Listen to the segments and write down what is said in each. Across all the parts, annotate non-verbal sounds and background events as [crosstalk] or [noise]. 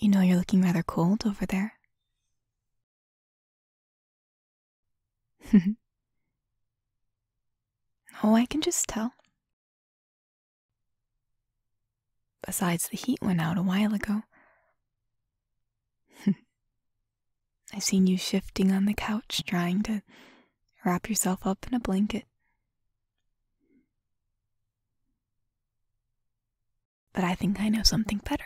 You know you're looking rather cold over there. [laughs] oh, I can just tell. Besides, the heat went out a while ago. [laughs] i seen you shifting on the couch, trying to wrap yourself up in a blanket. But I think I know something better.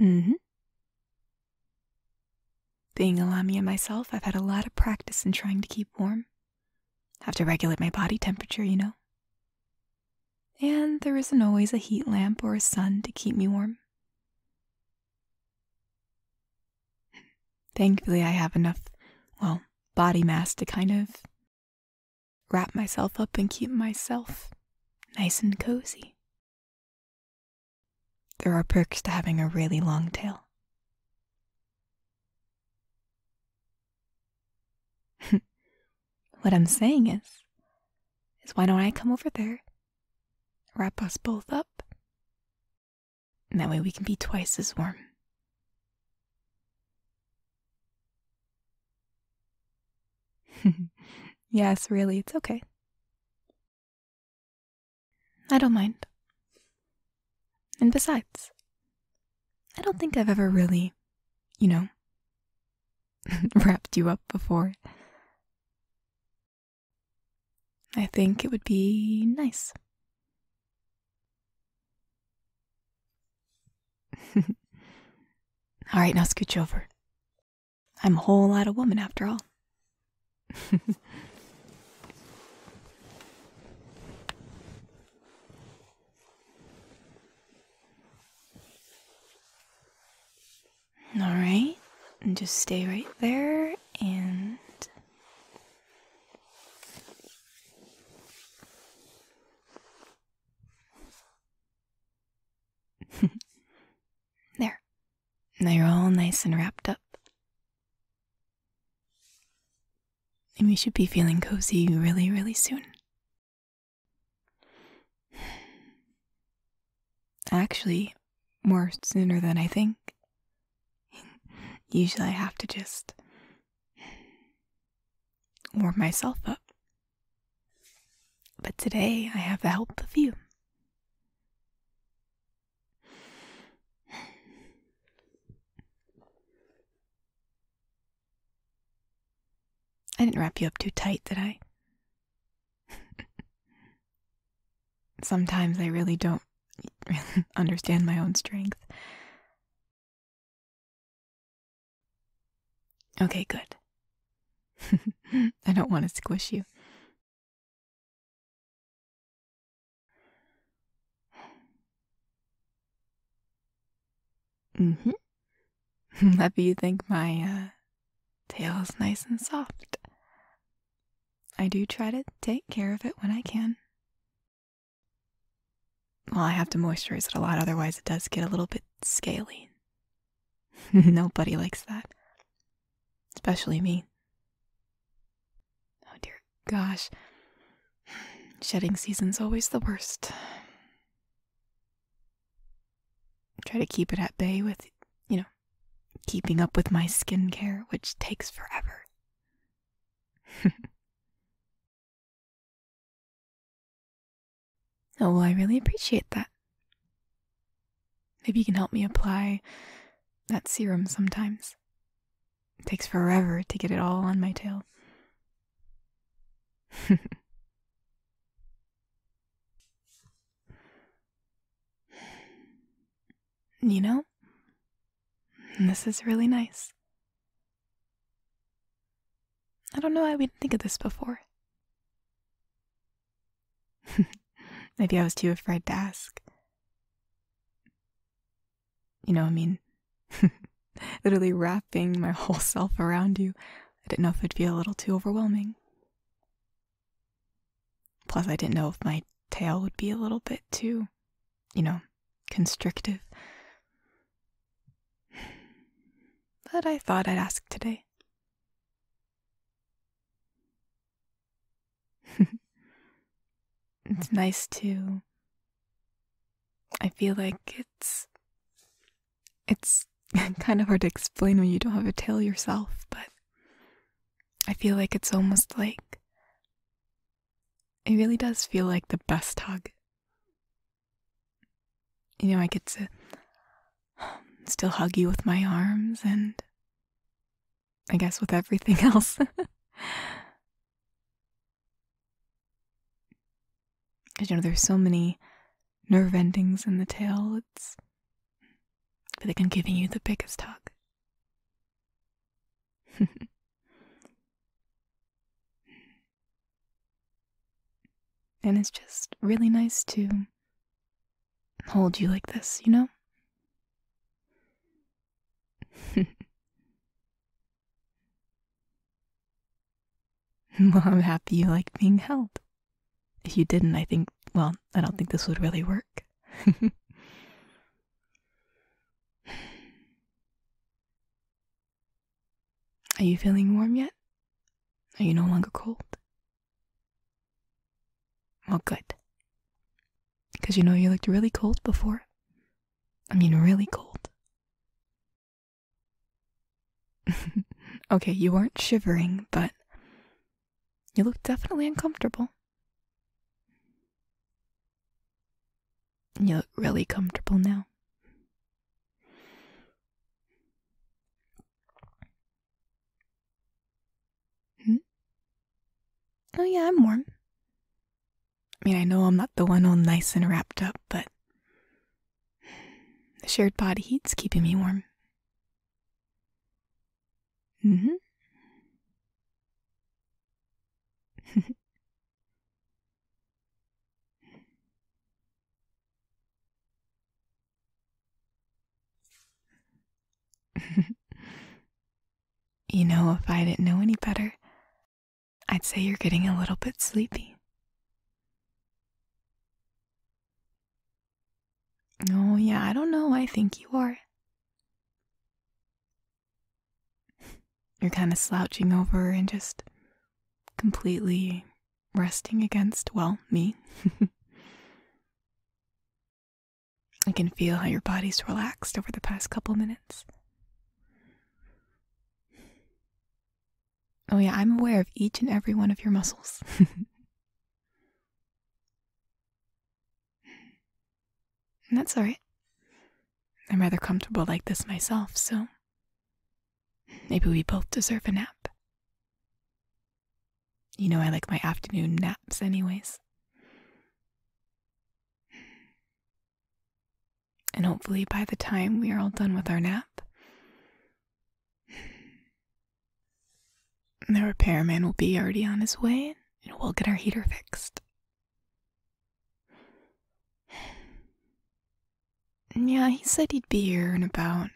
Mm-hmm. Being a Lamia myself, I've had a lot of practice in trying to keep warm. Have to regulate my body temperature, you know. And there isn't always a heat lamp or a sun to keep me warm. Thankfully, I have enough, well, body mass to kind of wrap myself up and keep myself nice and cozy. There are perks to having a really long tail. [laughs] what I'm saying is, is why don't I come over there, wrap us both up, and that way we can be twice as warm. [laughs] yes, really, it's okay. I don't mind. And besides, I don't think I've ever really, you know, [laughs] wrapped you up before. I think it would be nice. [laughs] all right, now scooch over. I'm a whole lot of woman after all. [laughs] All right, and just stay right there and. [laughs] there. Now you're all nice and wrapped up. And we should be feeling cozy really, really soon. [sighs] Actually, more sooner than I think. Usually I have to just warm myself up. But today I have the help of you. I didn't wrap you up too tight, did I? Sometimes I really don't [laughs] understand my own strength. Okay, good. [laughs] I don't want to squish you. Mm-hmm. Let [laughs] me think my uh, tail is nice and soft. I do try to take care of it when I can. Well, I have to moisturize it a lot, otherwise, it does get a little bit scaly. [laughs] Nobody likes that, especially me. Oh dear gosh, [sighs] shedding season's always the worst. Try to keep it at bay with, you know, keeping up with my skincare, which takes forever. [laughs] oh, well, I really appreciate that. Maybe you can help me apply that serum sometimes. takes forever to get it all on my tail. [laughs] You know, this is really nice. I don't know why we didn't think of this before. [laughs] Maybe I was too afraid to ask. You know, I mean, [laughs] literally wrapping my whole self around you I didn't know if it'd be a little too overwhelming. Plus, I didn't know if my tail would be a little bit too, you know, constrictive. But I thought I'd ask today. [laughs] it's nice to. I feel like it's it's [laughs] kind of hard to explain when you don't have a tail yourself, but I feel like it's almost like it really does feel like the best hug. You know, I get to um, still hug you with my arms and I guess with everything [laughs] else. Because, you know, there's so many nerve endings in the tail, it's. I feel like i you the biggest hug. [laughs] and it's just really nice to hold you like this, you know? [laughs] [laughs] Well, I'm happy you like being held. If you didn't, I think, well, I don't think this would really work. [laughs] Are you feeling warm yet? Are you no longer cold? Well, good. Because you know you looked really cold before. I mean, really cold. [laughs] okay, you are not shivering, but you look definitely uncomfortable. You look really comfortable now. Hmm? Oh, yeah, I'm warm. I mean, I know I'm not the one all nice and wrapped up, but the shared body heat's keeping me warm. Mm hmm. [laughs] you know, if I didn't know any better, I'd say you're getting a little bit sleepy. Oh, yeah, I don't know. I think you are. [laughs] You're kind of slouching over and just completely resting against, well, me. [laughs] I can feel how your body's relaxed over the past couple minutes. Oh, yeah, I'm aware of each and every one of your muscles. [laughs] That's all right. I'm rather comfortable like this myself, so maybe we both deserve a nap. You know, I like my afternoon naps, anyways. And hopefully, by the time we are all done with our nap, [sighs] the repairman will be already on his way and we'll get our heater fixed. [sighs] Yeah, he said he'd be here in about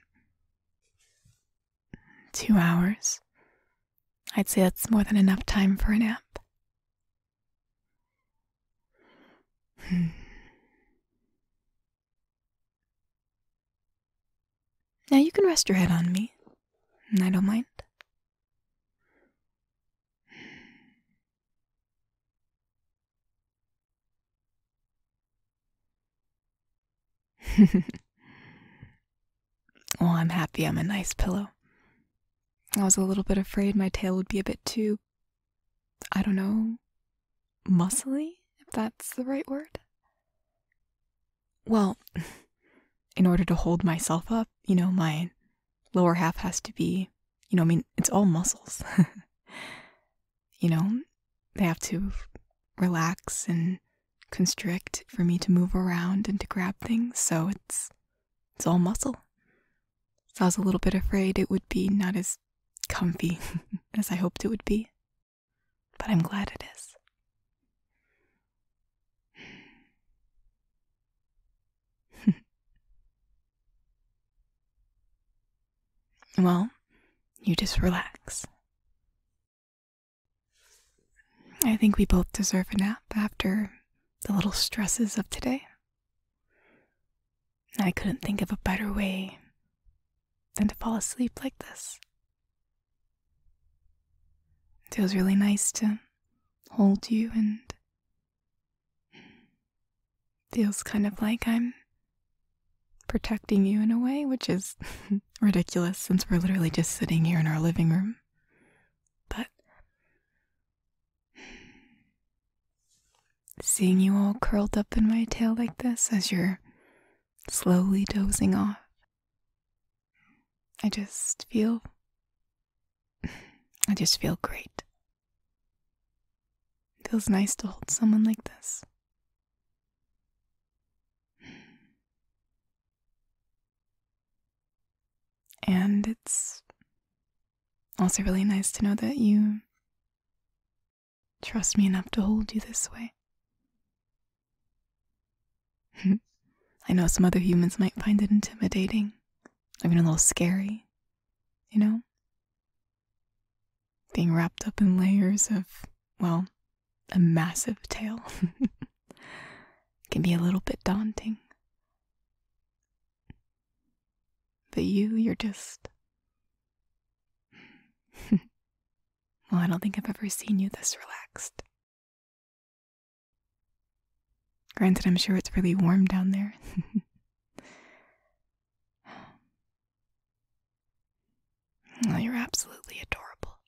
two hours. I'd say that's more than enough time for a nap. [sighs] Now you can rest your head on me. I don't mind. [sighs] [laughs] Well, oh, I'm happy I'm a nice pillow. I was a little bit afraid my tail would be a bit too, I don't know, muscly, if that's the right word. Well, [laughs] in order to hold myself up, you know, my lower half has to be, you know, I mean, it's all muscles. [laughs] you know, they have to relax and constrict for me to move around and to grab things, so it's it's all muscle. So I was a little bit afraid it would be not as comfy [laughs] as I hoped it would be. But I'm glad it is. [laughs] well, you just relax. I think we both deserve a nap after the little stresses of today. I couldn't think of a better way than to fall asleep like this. It feels really nice to hold you and feels kind of like I'm protecting you in a way, which is [laughs] ridiculous since we're literally just sitting here in our living room. But seeing you all curled up in my tail like this as you're slowly dozing off, I just feel. I just feel great. feels nice to hold someone like this. And it's also really nice to know that you trust me enough to hold you this way. [laughs] I know some other humans might find it intimidating, even a little scary, you know? Being wrapped up in layers of well, a massive tail [laughs] can be a little bit daunting. But you, you're just. [laughs] well, I don't think I've ever seen you this relaxed. Granted, I'm sure it's really warm down there. [laughs] you're absolutely adorable.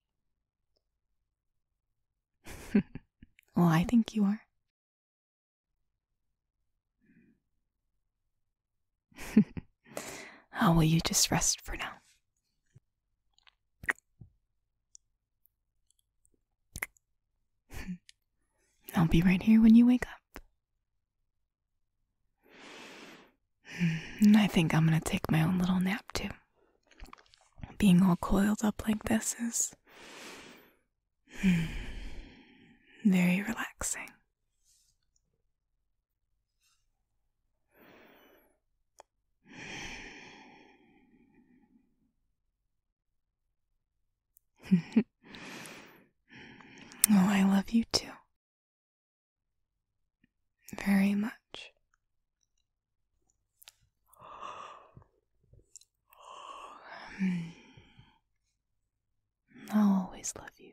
[laughs] well, I think you are. How [laughs] oh, will you just rest for now? [laughs] I'll be right here when you wake up. [sighs] I think I'm gonna take my own little nap too. Being all coiled up like this is [sighs] very relaxing. oh, [laughs] I love you too very much. Hmm. I'll always love you.